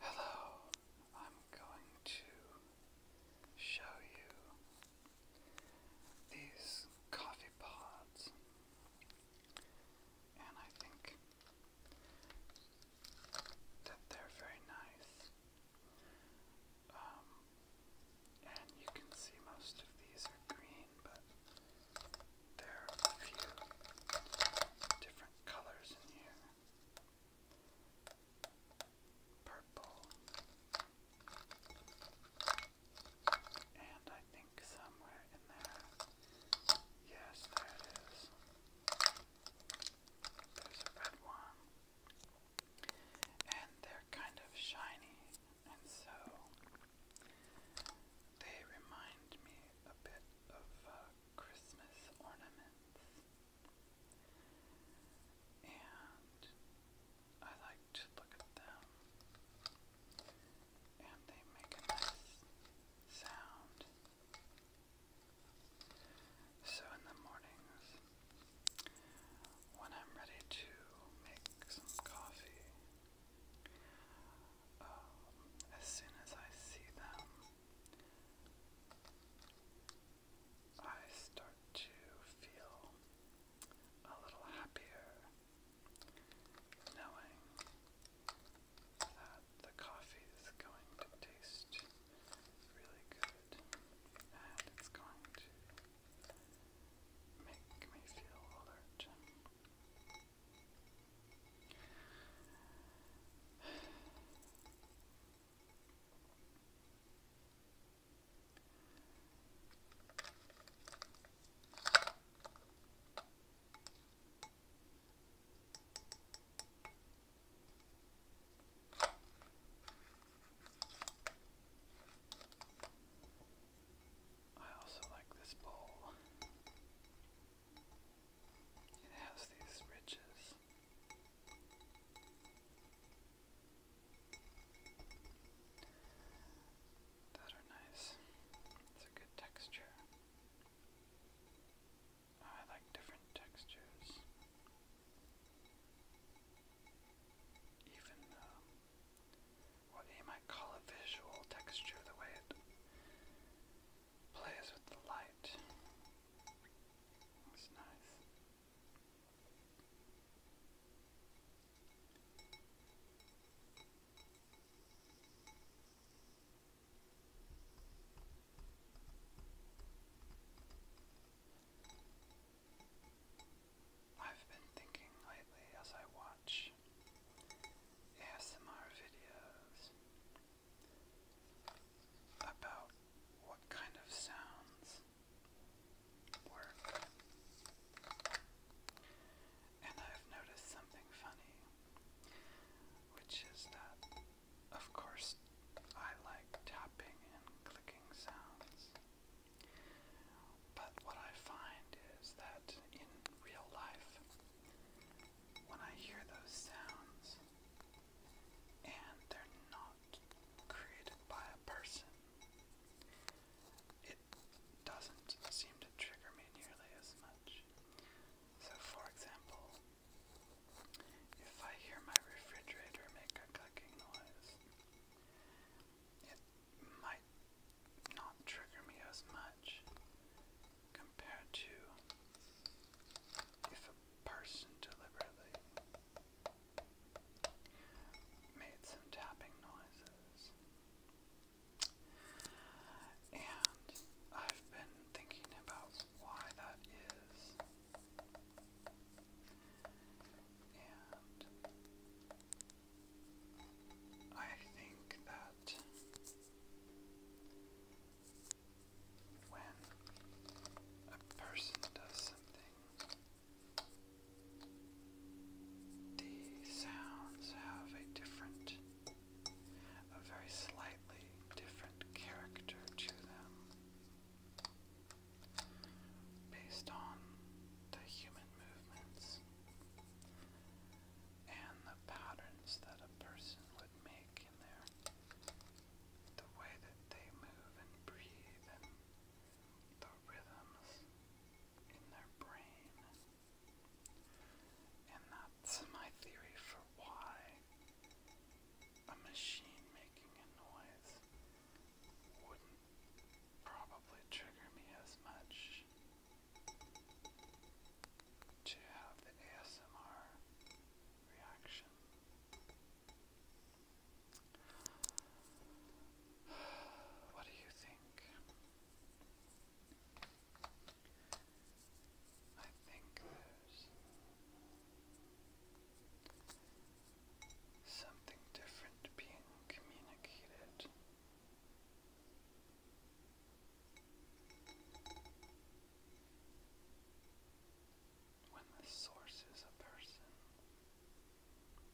Hello, I'm going to show you these coffee pods, and I think that they're very nice. Um, and you can see most of these are green, but there are a few different colors in here. Purple. And I think somewhere in there, yes, there it is. There's a red one. And they're kind of shiny and so they remind me a bit of uh, Christmas ornaments, and I like to look at them, and they make a nice sound. So in the mornings, when I'm ready to make some coffee, um, as soon as I see them, I start to feel a little happier knowing that the coffee is going to taste really good and it's going to make me feel alert. I also like this bowl. It has these ridges. That are nice. It's a good texture. I like different textures even um, what you might call a visual texture, the way it plays with the light. It's nice. I've been thinking lately as I watch ASMR videos about what kind of sounds work. And I've noticed something funny, which is that of course, I like tapping and clicking sounds. But what I find is that in real life, when I hear those sounds, and they're not created by a person, it doesn't seem to trigger me nearly as much. So, for example, if I hear my refrigerator make a clicking noise, it might not trigger me as much compared to if a person deliberately made some tapping noises. And I've been thinking about why that is. And I think that when a person does something, the sounds have a different a very slightly different character to them based on the human movements and the patterns that a person would make in their the way that they move and breathe and the rhythms in their brain. And that that's my theory for why a machine making a noise wouldn't probably trigger me as much to have the ASMR reaction. What do you think? I think there's something different being communicated. When the source is a person,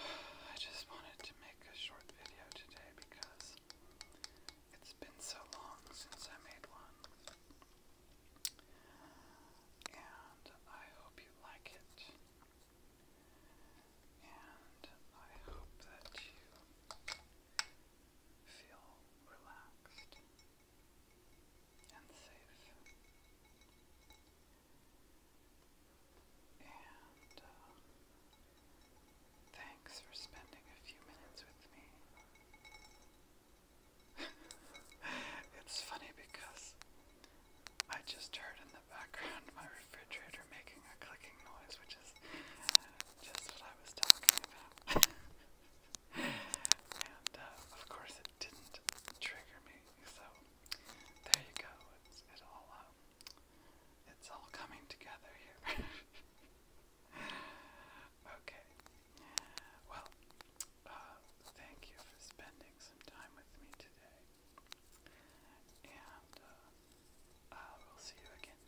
I just wanted to make a short video today because it's been so long since I made one. And I hope you like it. And I hope that you feel relaxed and safe. And uh, thanks for spending a few minutes with me. it's funny because I just heard in the background my refrigerator making a clicking noise, which is just what I was talking about. and uh, of course it didn't trigger me. So there you go. It's all um, it's all coming together here. okay. Well, uh, thank you for spending some time with me today, and uh, uh will see you again.